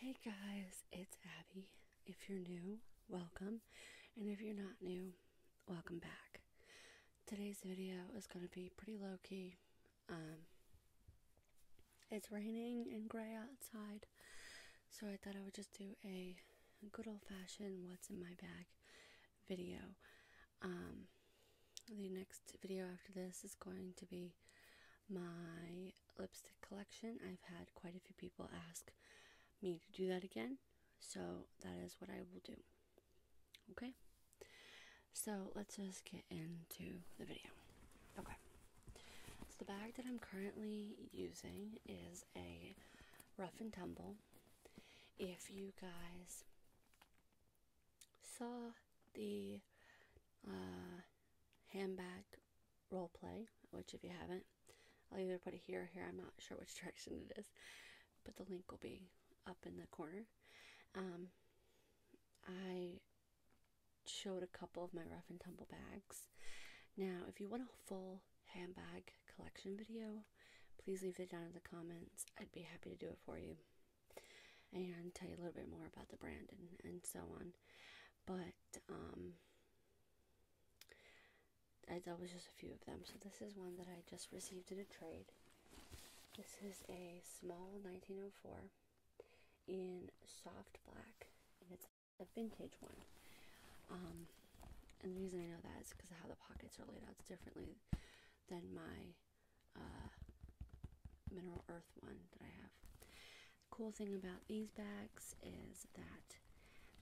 Hey guys, it's Abby. If you're new, welcome. And if you're not new, welcome back. Today's video is going to be pretty low key. Um, it's raining and gray outside, so I thought I would just do a good old fashioned what's in my bag video. Um, the next video after this is going to be my lipstick collection. I've had quite a few people ask me to do that again, so that is what I will do. Okay, so let's just get into the video. Okay, so the bag that I'm currently using is a rough and tumble. If you guys saw the uh, handbag role play, which if you haven't, I'll either put it here or here. I'm not sure which direction it is, but the link will be up in the corner. Um, I showed a couple of my rough and tumble bags. Now, if you want a full handbag collection video, please leave it down in the comments. I'd be happy to do it for you and tell you a little bit more about the brand and, and so on. But um, that was just a few of them. So this is one that I just received in a trade. This is a small 1904 in soft black, and it's a vintage one. Um, and the reason I know that is because how the pockets are laid out is differently than my uh, mineral earth one that I have. Cool thing about these bags is that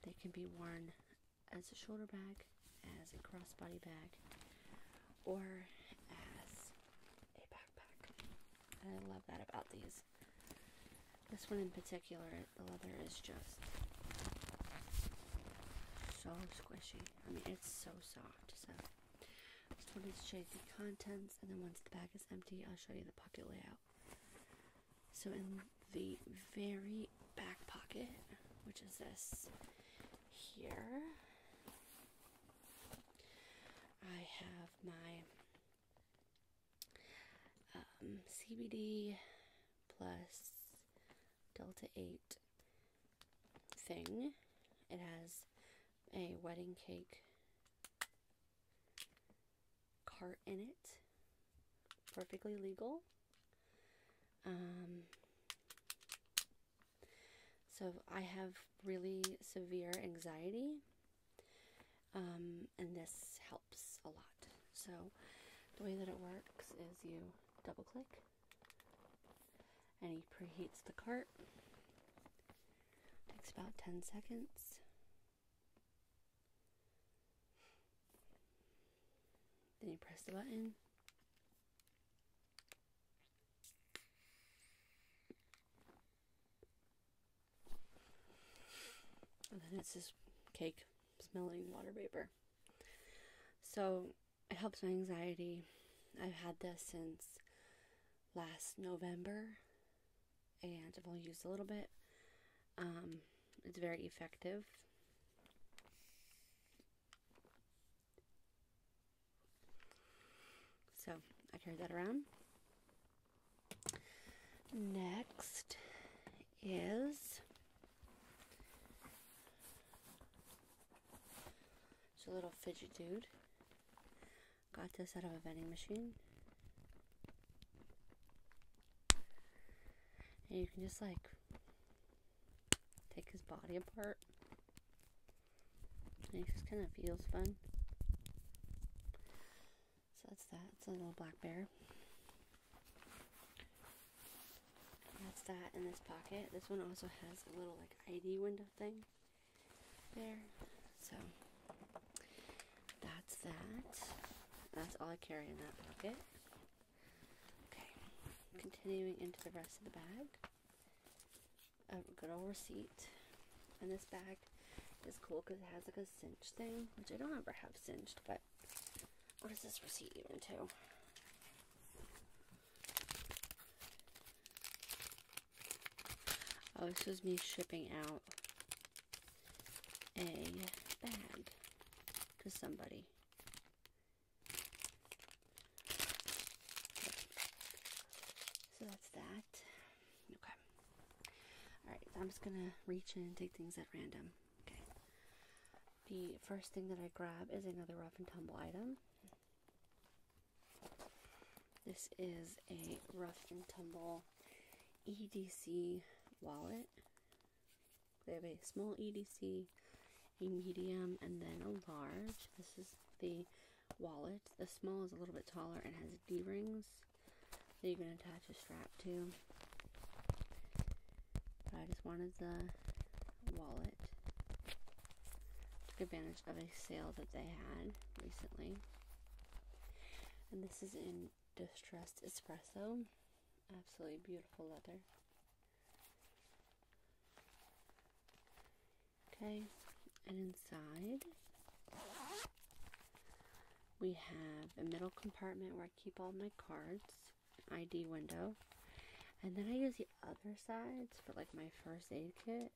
they can be worn as a shoulder bag, as a crossbody bag, or as a backpack. I love that about these. This one in particular, the leather is just so squishy. I mean, it's so soft. So I just wanted to show you the contents, and then once the bag is empty, I'll show you the pocket layout. So, in the very back pocket, which is this here, I have my um, CBD plus Delta 8 thing. It has a wedding cake cart in it. Perfectly legal. Um, so I have really severe anxiety, um, and this helps a lot. So the way that it works is you double click, and he preheats the cart, Takes about 10 seconds. Then you press the button. And then it's just cake smelling water vapor. So it helps my anxiety. I've had this since last November, and I've only used a little bit. Um, it's very effective. So I carry that around. Next is it's a little fidget dude. Got this out of a vending machine. And you can just like take his body apart. And it just kind of feels fun. So that's that. It's a little black bear. that's that in this pocket. This one also has a little like ID window thing there. So that's that. That's all I carry in that pocket. Okay, continuing into the rest of the bag. A good old receipt. And this bag is cool because it has like a cinch thing, which I don't ever have cinched, but what is this receipt even to? Oh, this is me shipping out a bag to somebody. So that's that. Okay. Alright, I'm just gonna reach in and take things at random. Okay. The first thing that I grab is another rough and tumble item. This is a rough and tumble EDC wallet. They have a small EDC, a medium, and then a large. This is the wallet. The small is a little bit taller and has D rings that you can attach a strap to. I just wanted the wallet. Took advantage of a sale that they had recently. And this is in Distressed Espresso. Absolutely beautiful leather. Okay, and inside we have a middle compartment where I keep all my cards, ID window, and then I use the other sides for like my first aid kit.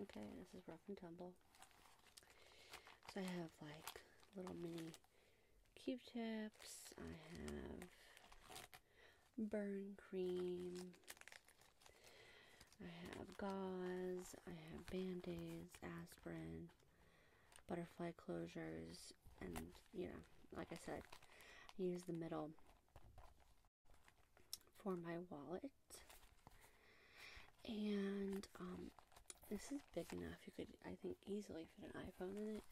Okay, this is rough and tumble. So I have like little mini q tips. I have burn cream. I have gauze. I have band-aids, aspirin, butterfly closures, and you know like I said use the middle for my wallet and um this is big enough you could I think easily fit an iPhone in it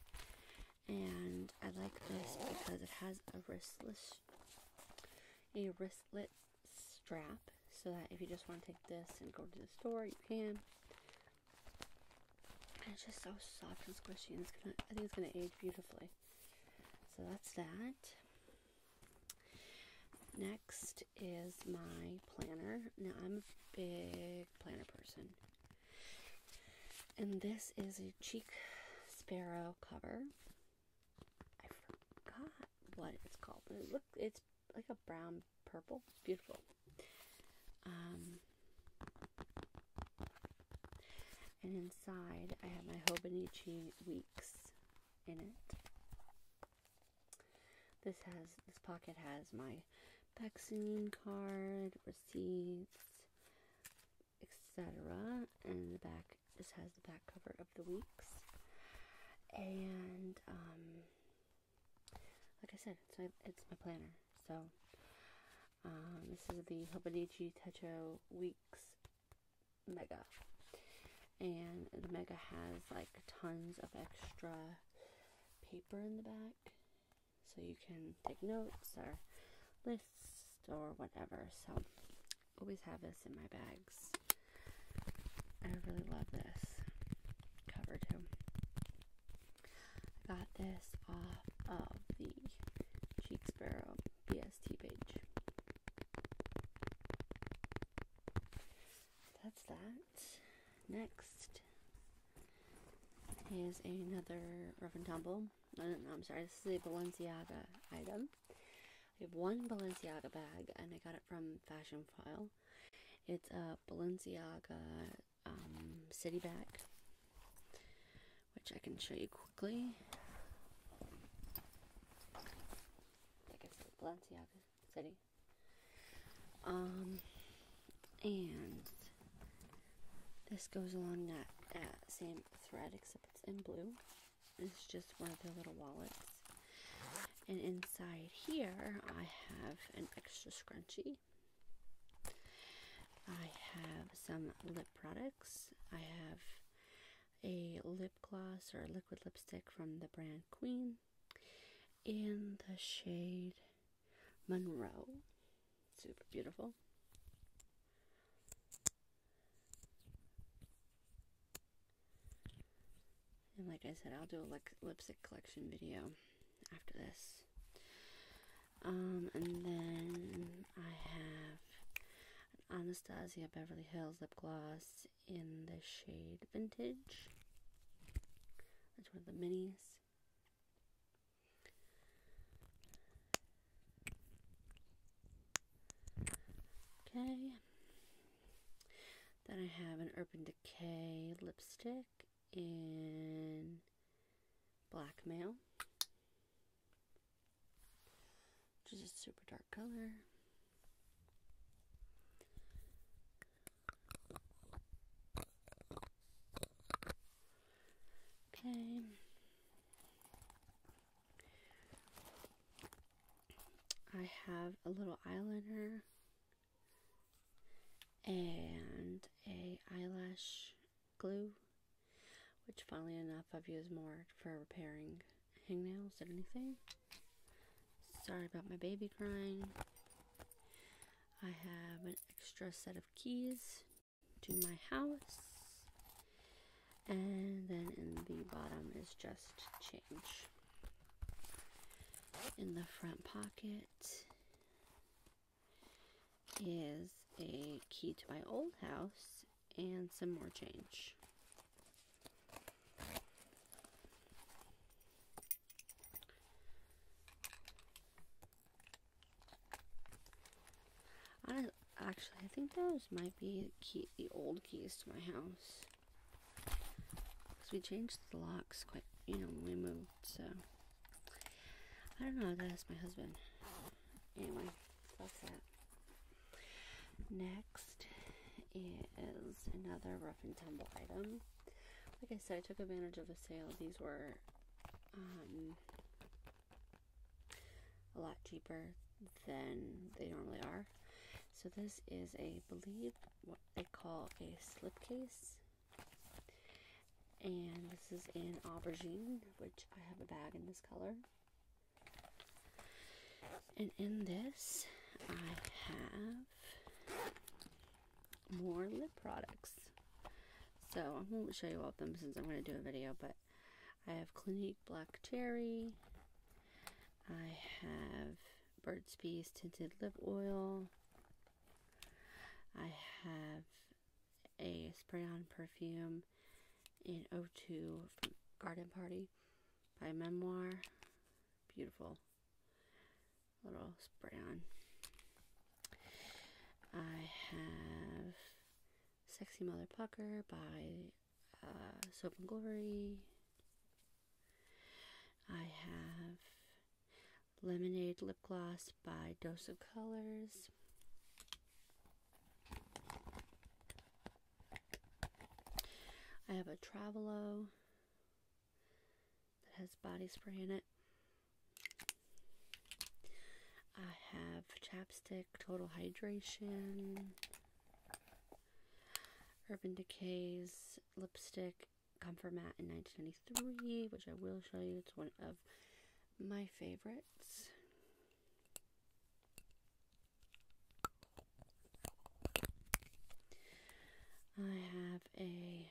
and I like this because it has a wristless a wristlet strap so that if you just want to take this and go to the store you can and it's just so soft and squishy, and I think it's gonna age beautifully. So that's that. Next is my planner. Now, I'm a big planner person. And this is a Cheek Sparrow cover. I forgot what it's called, but it look, it's like a brown purple. It's beautiful. Um, and inside, I have my Hobonichi Weeks in it. This has this pocket has my vaccine card, receipts, etc. And the back this has the back cover of the weeks. And um, like I said, it's my, it's my planner. So um, this is the Hobonichi Techo Weeks Mega. And the Mega has like tons of extra paper in the back. So you can take notes or lists or whatever. So always have this in my bags. I really love this cover too. I got this off of the Cheek Sparrow BST page. That's that. Next is another Rough and Tumble. No, no, no, I'm sorry, this is a Balenciaga item. I have one Balenciaga bag and I got it from Fashion File. It's a Balenciaga um, city bag, which I can show you quickly. I think Balenciaga city. Um, and this goes along that, that same thread, except it's in blue. It's just one of their little wallets. And inside here, I have an extra scrunchie. I have some lip products. I have a lip gloss or liquid lipstick from the brand Queen in the shade Monroe. Super beautiful. And like I said, I'll do a lip lipstick collection video after this. Um, and then I have Anastasia Beverly Hills lip gloss in the shade Vintage. That's one of the minis. Okay. Then I have an Urban Decay lipstick in Blackmail, which is a super dark color. Okay. I have a little eyeliner and a eyelash glue which funnily enough I've used more for repairing hangnails than anything. Sorry about my baby crying. I have an extra set of keys to my house. And then in the bottom is just change. In the front pocket is a key to my old house and some more change. actually, I think those might be the old keys to my house. Because we changed the locks quite, you know, when we moved, so... I don't know, I gotta ask my husband. Anyway, fuck that. Next is another rough and tumble item. Like I said, I took advantage of a sale. These were um, a lot cheaper than they normally are. So this is a believe what they call a slip case. And this is in aubergine, which I have a bag in this color. And in this, I have more lip products. So I am going to show you all of them since I'm going to do a video, but I have Clinique Black Cherry. I have Burt's Bees Tinted Lip Oil. I have a spray on perfume in O2 Garden Party by Memoir. Beautiful little spray on. I have Sexy Mother Pucker by uh, Soap and Glory. I have Lemonade Lip Gloss by Dose of Colors. I have a Travelo that has body spray in it. I have Chapstick Total Hydration. Urban Decay's lipstick Comfort Mat in 1993, which I will show you. It's one of my favorites. I have a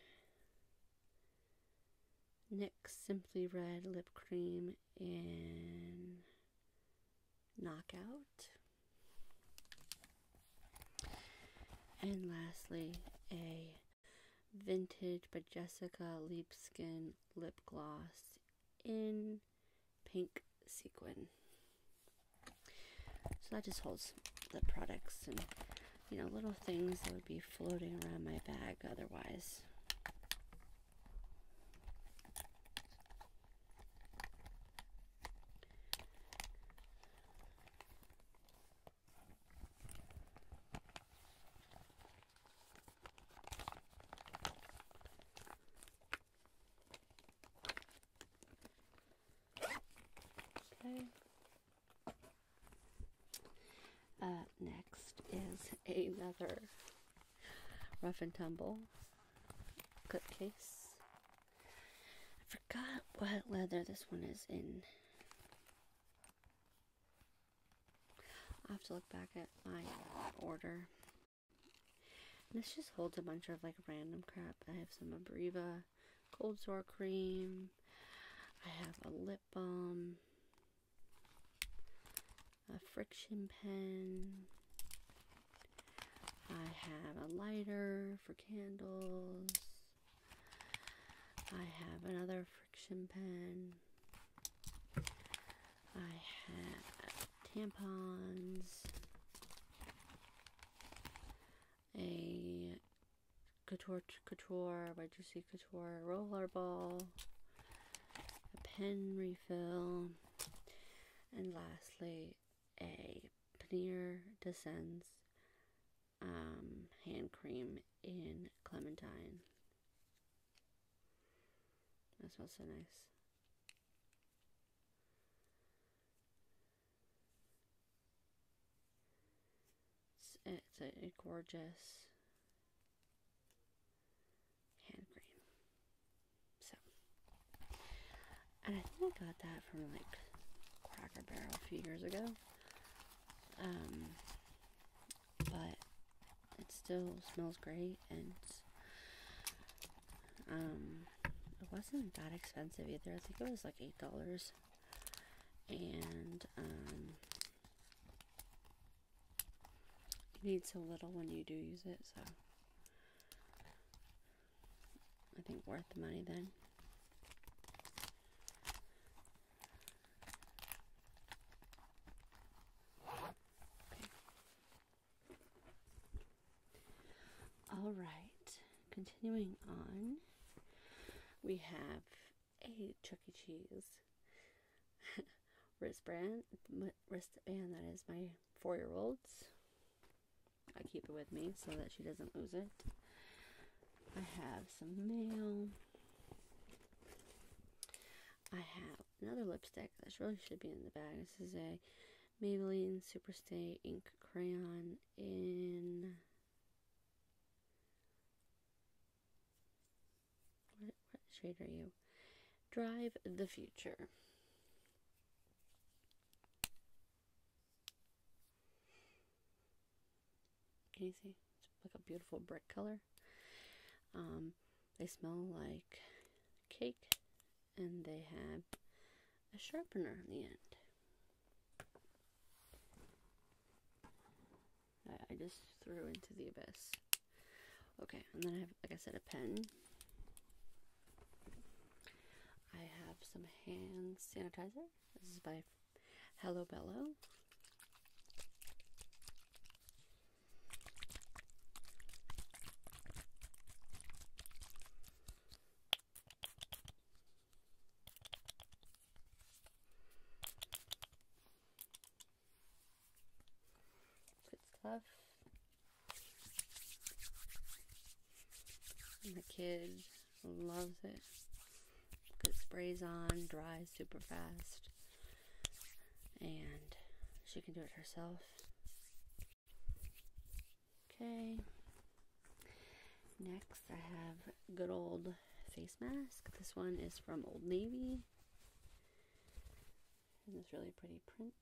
Simply Red Lip Cream in Knockout. And lastly, a vintage by Jessica Liebskin lip gloss in pink sequin. So that just holds the products and you know little things that would be floating around my bag otherwise. Okay. Uh, next is another rough and tumble clip case I forgot what leather this one is in. i have to look back at my order. this just holds a bunch of like random crap. I have some Abreva cold sore cream. I have a lip balm. A friction pen. I have a lighter for candles. I have another friction pen. I have tampons. A couture couture, by Juicy Couture roller ball. A pen refill. And lastly, a Paneer Descends um, hand cream in Clementine. That smells so nice. It's, a, a gorgeous hand cream. So, and I think I got that from like Cracker Barrel a few years ago. Um, but it still smells great, and um, it wasn't that expensive either. I think it was like eight dollars, and um, you need so little when you do use it, so I think worth the money then. All right, continuing on, we have a Chuck E. Cheese wristband, wristband that is my four year old's I keep it with me so that she doesn't lose it. I have some mail. I have another lipstick that really should be in the bag. This is a Maybelline Superstay Ink Crayon in. What, what shade are you? Drive the Future. Can you see? It's like a beautiful brick color. Um, they smell like cake, and they have a sharpener on the end. I just threw into the abyss. Okay, and then I have, like I said, a pen. I have some hand sanitizer. This is by Hello Bello. It's tough the kid loves it. It sprays on, dries super fast, and she can do it herself. Okay. Next, I have good old face mask. This one is from Old Navy. And this really pretty print.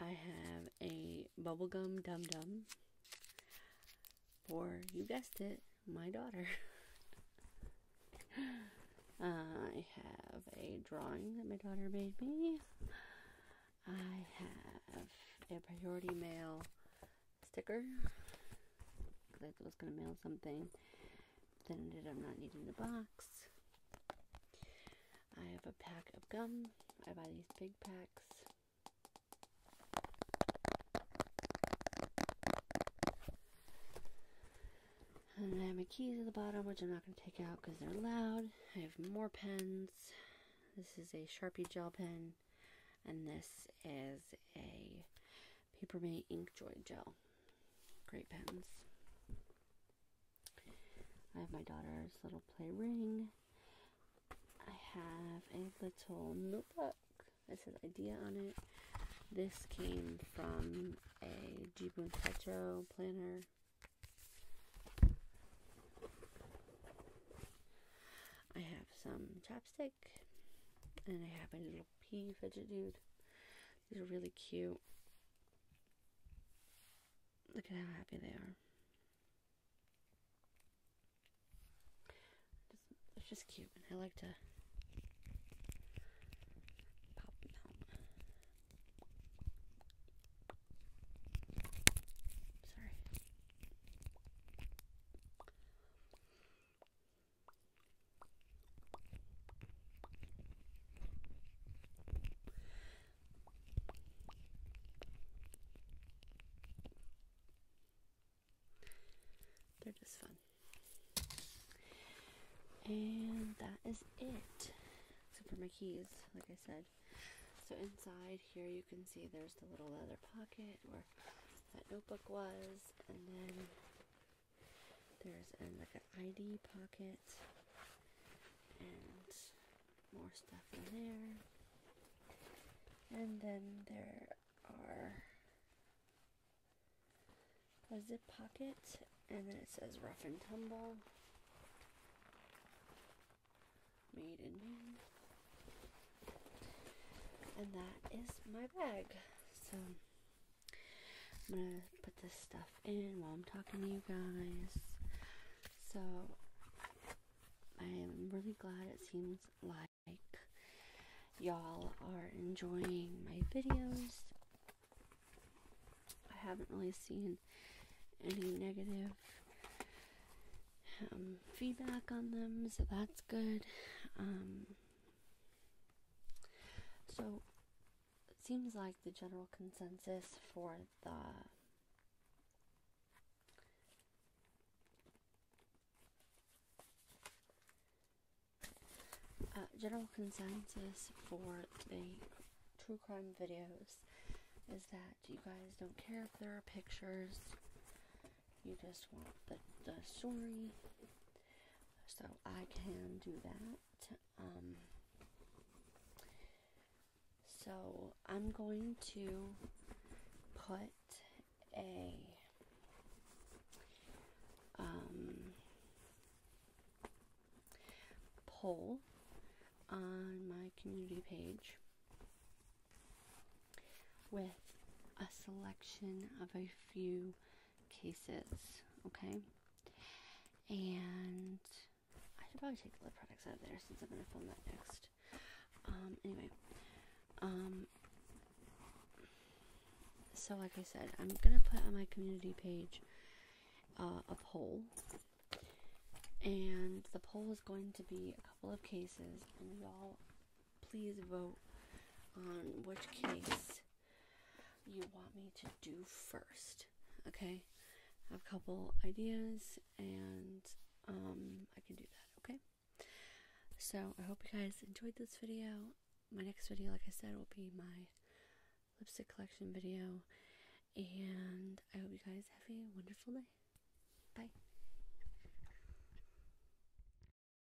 I have a bubblegum dum dum for, you guessed it, my daughter. I have a drawing that my daughter made me. I have a priority mail sticker because I was going to mail something. Then that I'm not needing the box. I have a pack of gum. I buy these big packs. And I have my keys at the bottom, which I'm not going to take out because they're loud. I have more pens. This is a Sharpie gel pen. And this is a Papermate Inkjoy Gel. Great pens. I have my daughter's little play ring. I have a little notebook that says idea on it. This came from a Jibun Petro planner. I have some chapstick and I have a little. P pea fidget dude. These are really cute. Look at how happy they are. it's just cute, I like to Sorry. They're just fun. And that is it. So for my keys, like I said. So inside here you can see there's the little leather pocket where that notebook was and then there's um, like an ID pocket and more stuff in there. And then there are a zip pocket and then it says rough and tumble. Made in Maine. And that is my bag. So I'm gonna put this stuff in while I'm talking to you guys. So I'm really glad it seems like y'all are enjoying my videos. I haven't really seen any negative um, feedback on them, so that's good. Um, so it seems like the general consensus for the uh, general consensus for the true crime videos is that you guys don't care if there are pictures. You just want the story so I can do that. Um, so I'm going to put a um, poll on my community page with a selection of a few cases. Okay. And I should probably take the lip products out of there since I'm gonna film that next. Um, anyway. Um so like I said, I'm gonna put on my community page uh, a poll. And the poll is going to be a couple of cases, and y'all please vote on which case you want me to do first. Okay? I have a couple ideas and um, I can do that. Okay? So I hope you guys enjoyed this video. My next video, like I said, will be my lipstick collection video. And I hope you guys have a wonderful day. Bye.